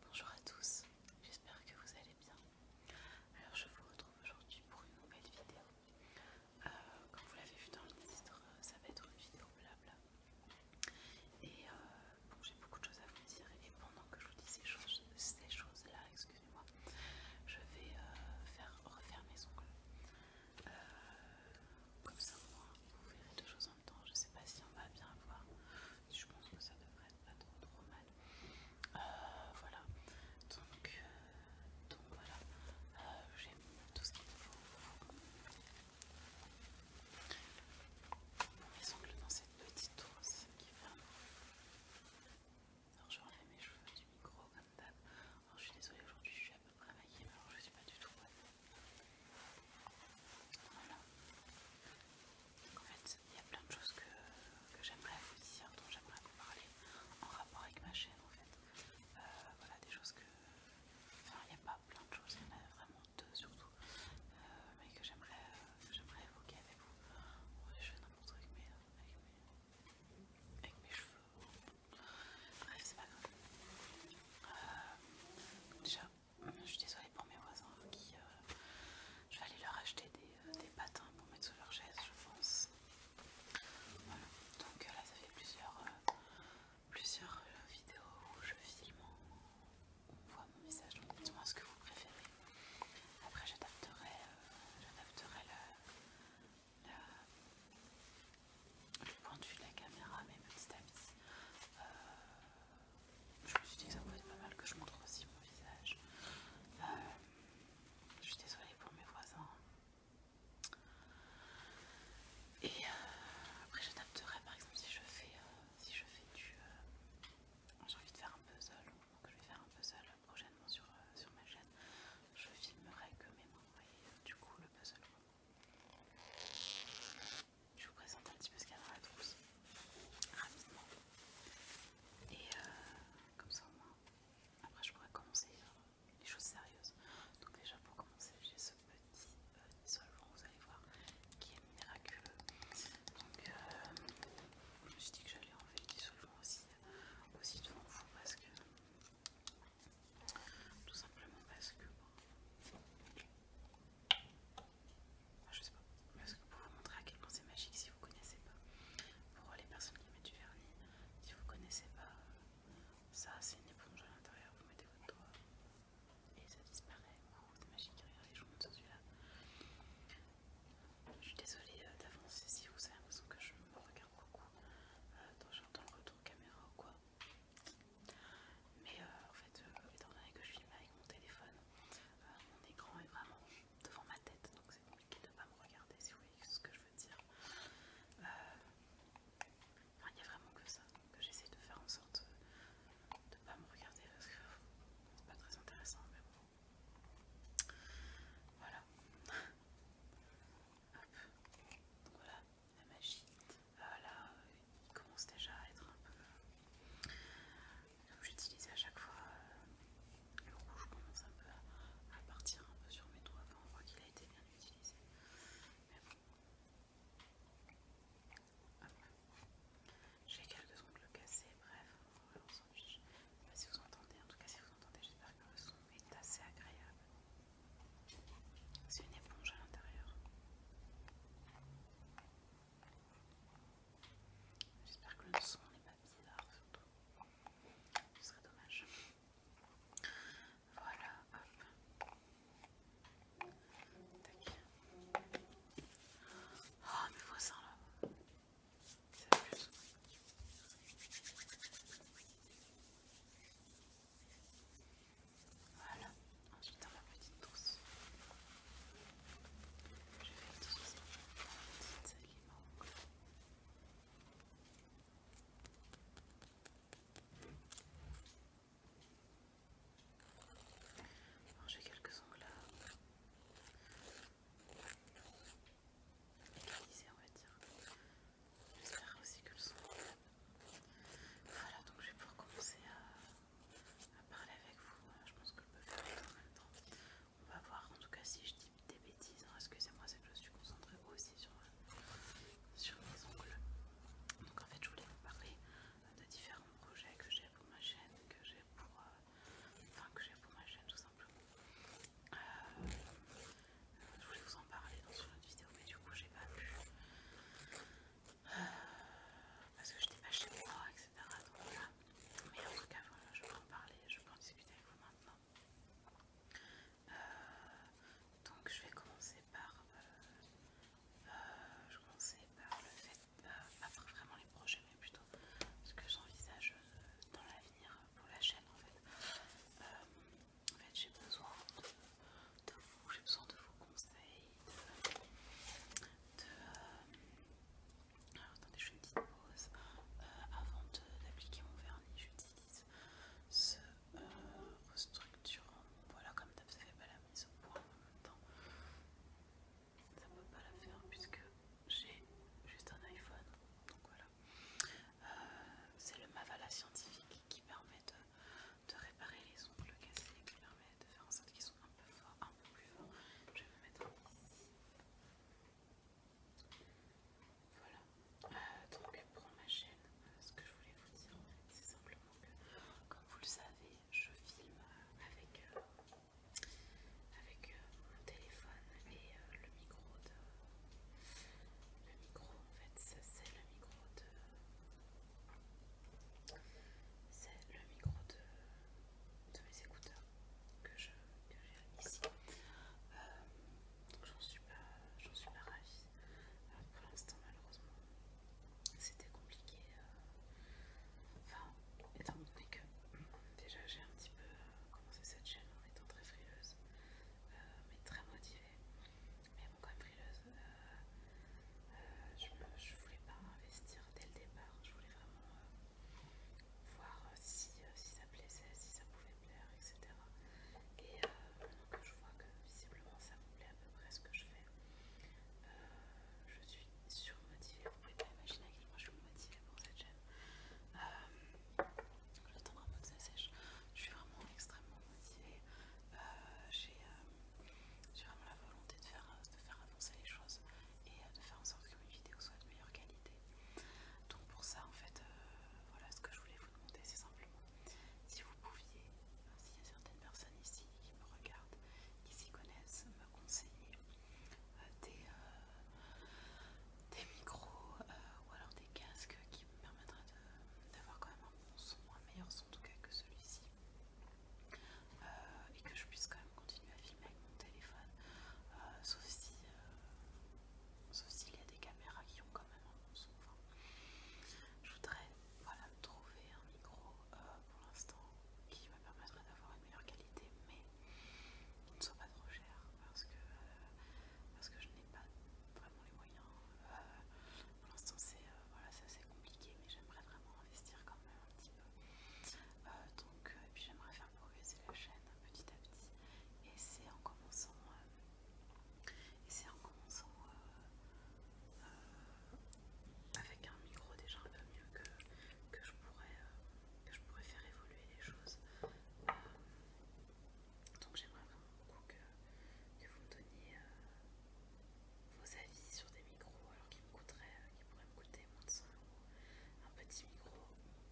Bonjour à tous, j'espère que vous allez bien. Alors je vous retrouve aujourd'hui pour une nouvelle vidéo. Euh, comme vous l'avez vu dans le titre, ça va être une vidéo blabla. Et euh, j'ai beaucoup de choses à vous dire et pendant que je vous dis ces choses, là, excusez-moi, je vais euh, faire refaire mes ongles. comme ça au moins vous verrez deux choses en même temps. Je sais pas si on va bien voir je pense que ça devrait être pas trop trop mal. Euh, voilà, donc, euh, donc voilà, euh, j'ai tout ce qu'il faut. Les ongles dans cette petite trousse qui ferme. Alors je enlever mes cheveux du micro comme d'hab. Alors je suis désolée aujourd'hui, je suis à peu près maquillée, mais alors je suis pas du tout bonne. Voilà. en fait, il y a plein de choses que, j'aimerais vous dire, dont j'aimerais vous parler en rapport avec ma chaîne en fait. Euh, voilà des choses que... Enfin il n'y a pas plein de choses, il y en a vraiment deux surtout. Euh, mais que j'aimerais euh, j'aimerais évoquer avec vous. je fais n'importe quoi avec, mais avec mes cheveux. Bref, c'est pas grave. ciao je suis désolée pour mes voisins qui. Euh, je vais aller leur acheter euh, des, patins pour mettre sous leur chaise, je pense. Voilà, donc euh, là ça fait plusieurs, plusieurs vidéos où je filme, on voit mon visage, donc dites-moi ce que vous préférez. Après j'adapterai le point de vue de la caméra à mes petits je me suis dit que ça pouvait être pas mal que je montre aussi mon visage. Euh, je suis désolée pour mes voisins. Et euh, après j'adapterai par exemple si je fais euh, si je fais du j'ai envie de faire un puzzle donc je vais faire un puzzle prochainement sur, ma chaîne je filmerai que mes mains et du coup le puzzle je vous présente un petit peu ce qu'il y a dans la trousse rapidement. Et euh, comme ça au moins, après je pourrais commencer les choses sérieuses. Donc déjà pour commencer, j'ai ce petit dissolvant euh, vous allez voir, qui est miraculeux. Donc euh, je me suis dit que j'allais enlever l'isolant aussi, aussi devant vous parce que... Tout simplement parce que... Bon, je sais pas. Mais pour vous montrer à quel point c'est magique si vous connaissez pas. Pour les personnes qui mettent du vernis, si vous connaissez pas, euh, ça c'est une éponge à l'intérieur. Vous mettez votre doigt et ça disparaît. c'est magique. Regardez, je vous montre celui-là. Je suis désolée euh, d'avancer si vous avez l'impression que je me regarde beaucoup quand euh, j'entends le retour caméra ou quoi. Mais en fait, étant donné que je filme avec mon téléphone, mon écran est vraiment devant ma tête, donc c'est compliqué de ne pas me regarder si vous voyez ce que je veux dire. Euh, il n'y a vraiment que ça que j'essaie de faire en sorte de ne pas me regarder parce que c'est pas très intéressant, mais bon. Voilà. Hop. Donc voilà, la magie. il commence déjà à être un peu j'utilise à chaque fois euh, le rouge commence un peu à, partir un peu sur mes doigts. on voit qu'il a été bien utilisé. Mais bon. j'ai quelques ongles cassés, bref, on s'en fiche. Je sais pas si vous entendez, en tout cas si vous entendez, j'espère que le son est assez agréable. C'est une éponge à l'intérieur. J'espère que le son n'est pas bizarre, surtout. Ce serait dommage. Voilà, hop. Tac. Oh, mes voisins là. Ça plus. Voilà, ensuite a ma petite trousse. Je vais utiliser la ça. qui en Bon, J'ai quelques ongles à localiser, on va dire. J'espère aussi que le son. Voilà, donc je vais pouvoir commencer à, à parler avec vous. Je pense que je peux faire tout en même temps. On va voir en tout cas si je dis des bêtises. Hein, excusez-moi, c'est que je suis concentrée aussi euh, sur, mes ongles. Donc en fait, je voulais vous parler euh, de différents projets que j'ai pour ma chaîne, que j'ai pour, euh, enfin, que j'ai pour ma chaîne tout simplement. je voulais vous en parler dans une autre vidéo, mais du coup, j'ai pas pu. parce que je j'étais pas chez moi, etc. Donc mais en tout cas, voilà, je peux en parler, je peux en discuter avec vous maintenant. Euh, donc, je vais commencer par, euh, euh, commencer par le fait, pas vraiment les projets, mais plutôt ce que j'envisage dans l'avenir pour la chaîne en fait. en fait, j'ai besoin de, vous, j'ai besoin de vos conseils, de, alors attendez, je fais une petite pause. Euh, avant d'appliquer mon vernis, j'utilise ce euh, restructurant. Voilà, comme d'hab, ça fait pas la mise au point en même temps. Ça peut pas la faire puisque j'ai juste un iPhone. Donc voilà. Euh, c'est le Mavala scientifique qui permet de, de réparer les ongles cassés, qui permet de faire en sorte qu'ils sont un peu forts, un peu plus forts. Je vais me mettre ici. Voilà, euh, donc pour ma chaîne, euh, ce que je voulais vous dire c'est simplement que, comme vous le savez, je filme euh, avec, avec mon téléphone et le micro de... Le micro, en fait, c'est le micro de... C'est le micro de, de mes écouteurs que j'ai ici. Euh, donc j'en suis pas, j'en suis ravie. Euh, pour l'instant malheureusement c'était compliqué. Euh, enfin, étant donné que déjà j'ai un petit peu commencé cette chaîne en étant très frileuse, mais très motivée, mais bon quand même frileuse. je, voulais pas investir dès le départ, je voulais vraiment voir euh, euh, si, ça plaisait, si ça pouvait plaire, etc. Et maintenant que euh, je vois que visiblement ça me plaît à peu près ce que je fais, je suis surmotivée. Vous pouvez pas imaginer à quel point je suis motivée pour cette chaîne. Euh, J'attends peu que ça sèche. Je suis vraiment extrêmement motivée. J'ai vraiment la volonté de faire avancer les choses et de faire en sorte que mes vidéos soient de meilleure qualité. Donc pour ça en fait, euh, voilà ce que je voulais vous demander, c'est simplement si vous pouviez, s'il y a certaines personnes ici qui me regardent, qui s'y connaissent, me conseiller euh, des, euh, des micros ou alors des casques qui me permettraient d'avoir quand même un bon son, un meilleur son en tout cas que celui-ci. et que je puisse quand continuer à filmer avec mon téléphone, euh, sauf si euh, s'il y a des caméras qui ont quand même un bon son. je voudrais trouver un micro euh, pour l'instant qui me permettrait d'avoir une meilleure qualité, mais qui ne soit pas trop cher parce que, parce que je n'ai pas vraiment les moyens. pour l'instant, c'est assez compliqué, mais j'aimerais vraiment investir quand même un petit peu. donc, et puis j'aimerais faire progresser la chaîne petit à petit. Et c'est en commençant, euh, et c'est en commençant euh, euh, avec un micro déjà un peu mieux que, que, je pourrais, que je pourrais faire évoluer les choses. donc j'aimerais vraiment beaucoup que, vous me donniez vos avis sur des micros alors qu'ils me qui pourraient me coûter un petit micro,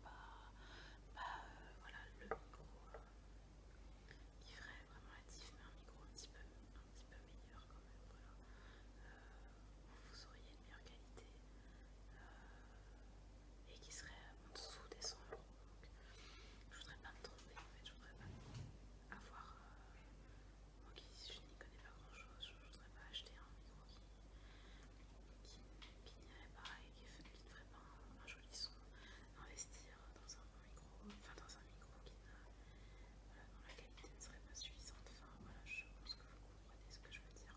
pas, euh, voilà, le micro euh, qui ferait vraiment la diff, mais un micro un petit peu, meilleur quand même. où euh, vous auriez une meilleure qualité et qui serait en dessous des 100 euros. Je voudrais pas me tromper en fait, je voudrais pas avoir. moi qui je n'y connais pas grand chose, je voudrais pas acheter un micro qui qui, n'irait pas et qui, ne ferait pas un, joli son, investir dans un micro, enfin dans un micro qui dont la qualité ne serait pas suffisante. voilà, je pense que vous comprenez ce que je veux dire.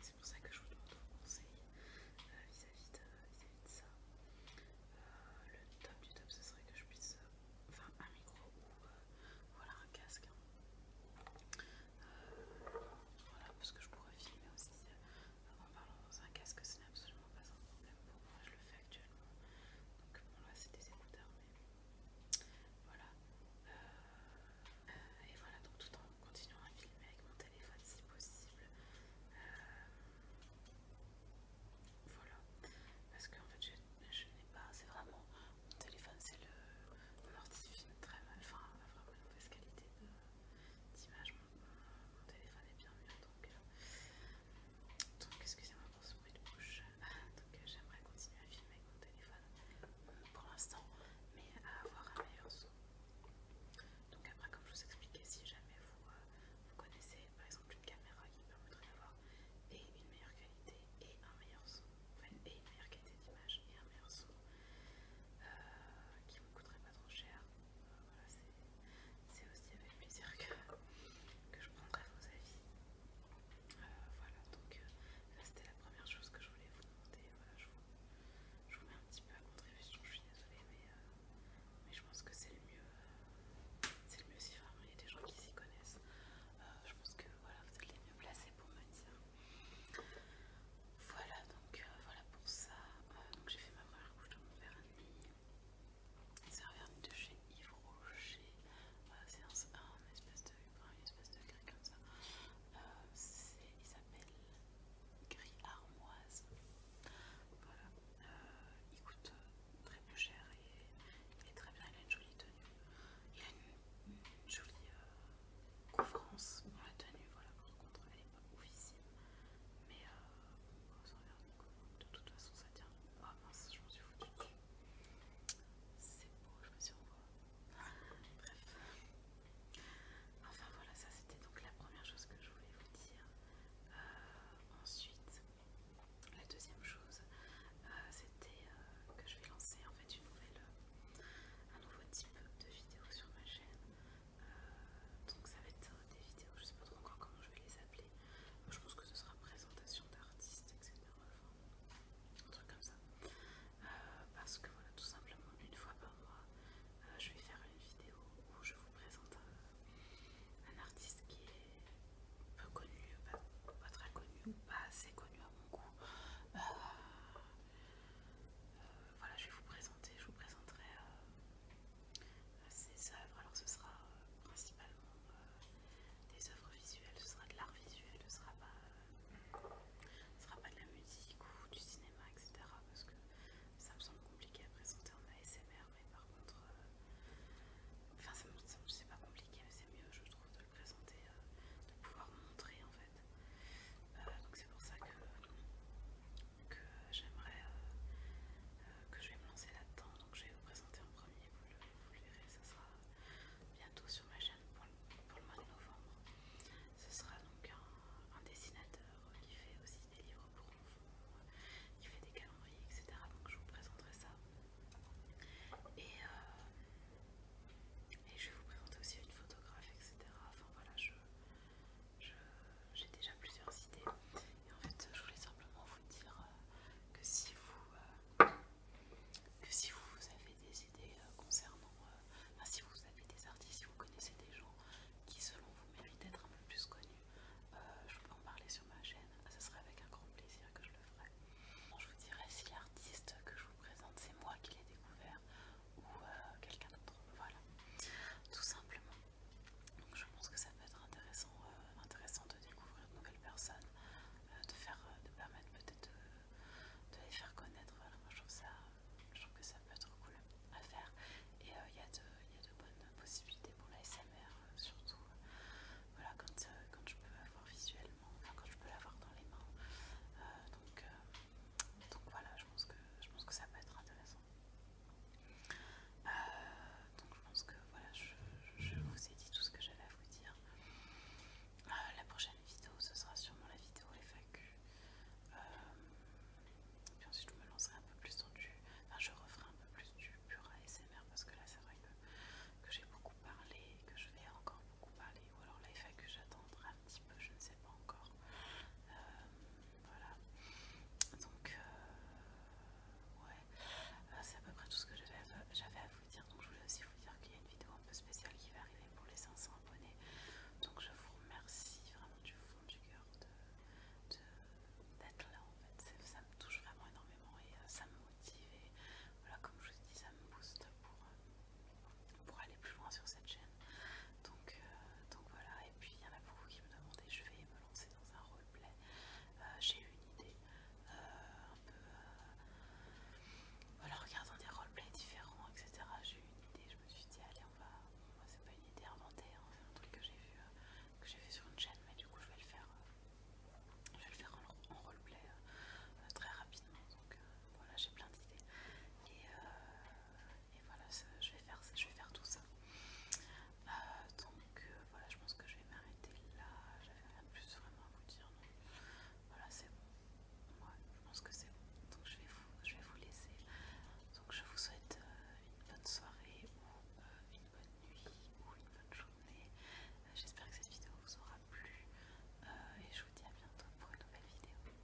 C'est pour ça que je vous demande vos conseil vis-à-vis de, ça. le top du top, ce serait que je puisse, enfin un micro ou voilà un casque voilà, parce que je pourrais filmer aussi euh, en parlant dans un casque, ce n'est absolument pas un problème pour moi, je le fais actuellement. Donc bon là c'est des écouteurs, mais voilà. Euh, et voilà, donc tout en continuant à filmer avec mon téléphone si possible. Euh, voilà, parce qu'en fait je, n'ai pas, c'est vraiment, mon téléphone c'est le, mon ordi filme très mal, enfin vraiment mauvaise qualité d'image. Mon, téléphone est bien mieux, donc, excusez-moi pour ce bruit de bouche. Ah, donc euh, j'aimerais continuer à filmer avec mon téléphone euh, pour l'instant, mais à avoir un meilleur son. Donc après, comme je vous expliquais, si jamais vous, euh, connaissez par exemple une caméra qui permettrait d'avoir et une meilleure qualité et un meilleur son, enfin, et une meilleure qualité d'image et un meilleur son, qui euh, qui me coûterait pas trop cher. Euh, c'est aussi avec plaisir que, je prendrai vos avis. Euh, voilà, donc là c'était la première chose que je voulais vous demander. je, vous, mets un petit peu à contribution, je suis désolée, mais, je pense que c'est le mieux. c'est le mieux si vraiment il y a des gens qui s'y connaissent. je pense que voilà, vous êtes les mieux placés pour me dire voilà, donc euh, voilà pour ça. Euh, donc j'ai fait ma première couche de mon verre et C'est un de chez Yves Rocher. c'est un, espèce de une espèce de gris comme ça. Euh, c'est il s'appelle Gris Armoise. Voilà, il coûte très peu cher et il est très bien. Il a une jolie tenue. Il a une, jolie conférence. Bon, la tenue, voilà, par contre, elle n'est pas oufissime. Mais euh, De toute façon, ça tient. Ah oh, mince, je m'en suis foutue C'est beau, je me suis revoie. Bref. Enfin voilà, ça c'était donc la première chose que je voulais vous dire. Euh, ensuite, la deuxième chose, euh, c'était que je vais lancer euh, un nouveau type de vidéo sur ma chaîne. Euh, donc ça va être euh, des vidéos, je sais pas trop encore comment je vais les appeler. Je pense que ce sera présentation d'artistes, etc. un truc comme ça. parce que voilà, tout simplement, une fois par mois, je vais faire une vidéo où je vous présente un, artiste qui est peu connu, pas, très connu, pas assez connu à mon goût voilà, je vais vous présenter, je vous présenterai euh, ces œuvres. Alors ce sera euh, principalement euh, des œuvres visuelles, ce sera de l'art visuel, ce sera pas, sera pas de la musique ou du cinéma, etc. Parce que ça me semble compliqué à présenter en ASMR, mais par contre, enfin ça me c'est pas compliqué, mais c'est mieux, je trouve, de le présenter, de pouvoir montrer en fait euh, donc c'est pour ça que, j'aimerais euh, euh, que je vais me lancer là-dedans. Donc je vais vous présenter en premier, vous le, verrez, ça sera bientôt sur ma chaîne pour le, mois de novembre. Ce sera donc un, dessinateur qui fait aussi des livres pour enfants, qui fait des calendriers, etc. Donc je vous présenterai ça. Et, et je vais vous présenter aussi une photographe, etc. Enfin voilà, je, j'ai déjà plusieurs idées et en fait je voulais simplement vous dire euh, que si vous euh, que si vous avez des idées euh, concernant si vous avez des artistes, si vous connaissez des gens qui selon vous méritent d'être un peu plus connus, je peux en parler sur ma chaîne, ce ah, serait avec un grand plaisir que je le ferai. je vous dirais si l'artiste que je vous présente c'est moi qui l'ai découvert ou euh, quelqu'un d'autre. Voilà, tout simplement. Donc je pense que ça peut être intéressant, euh, intéressant de découvrir de nouvelles personnes, euh, de faire, permettre peut-être de, les faire connaître. Voilà, je trouve ça, trouve que ça peut être cool à faire. Et il y, a de bonnes possibilités pour la SMR, surtout voilà quand, je peux voir visuellement, quand je peux l'avoir dans les mains. donc donc voilà, je pense que, je pense que ça peut être intéressant. Euh, donc je pense que voilà, je, vous ai dit tout ce que j'avais à vous dire. Euh, la prochaine vidéo, ce sera sûrement la vidéo FAQ. Euh, puis ensuite, je me lancerai un peu plus dans du. Enfin, je referai un peu plus du pur ASMR parce que là, c'est vrai que, que j'ai beaucoup parlé, que je vais encore beaucoup parler. Ou alors la FAQ, j'attendrai un petit peu, je ne sais pas encore. Euh, voilà. Donc, euh, ouais, euh, c'est à peu près tout ce que j'avais à vous dire. Donc, je voulais aussi vous dire qu'il y a une vidéo un peu spéciale qui va arriver pour les 500 abonnés. Donc, je vous remercie vraiment du fond du cœur d'être de, là en fait. Ça me touche vraiment énormément et ça me motive. Et voilà, comme je vous dis, ça me booste pour pour aller plus loin sur cette chaîne. Donc, euh, donc voilà, et puis il y en a beaucoup qui me demandaient, je vais me lancer dans un roleplay. Euh, j'ai eu une idée, euh, un peu... voilà, regardant des roleplays différents, etc. J'ai eu une idée, je me suis dit, allez, on va... Moi, c'est pas une idée inventée, hein, c'est un truc que j'ai vu, j'ai vu sur une chaîne, mais du coup, je vais le faire. je vais le faire en, roleplay très rapidement. Donc voilà, j'ai plein d'idées. Et, et voilà je, vais faire, je vais faire tout ça euh, donc euh, voilà je pense que je vais m'arrêter là j'avais rien de plus vraiment à vous dire voilà c'est bon je pense que c'est bon donc je vais, vous, laisser donc je vous souhaite euh, une bonne soirée ou une bonne nuit ou une bonne journée j'espère que cette vidéo vous aura plu et je vous dis à bientôt pour une nouvelle vidéo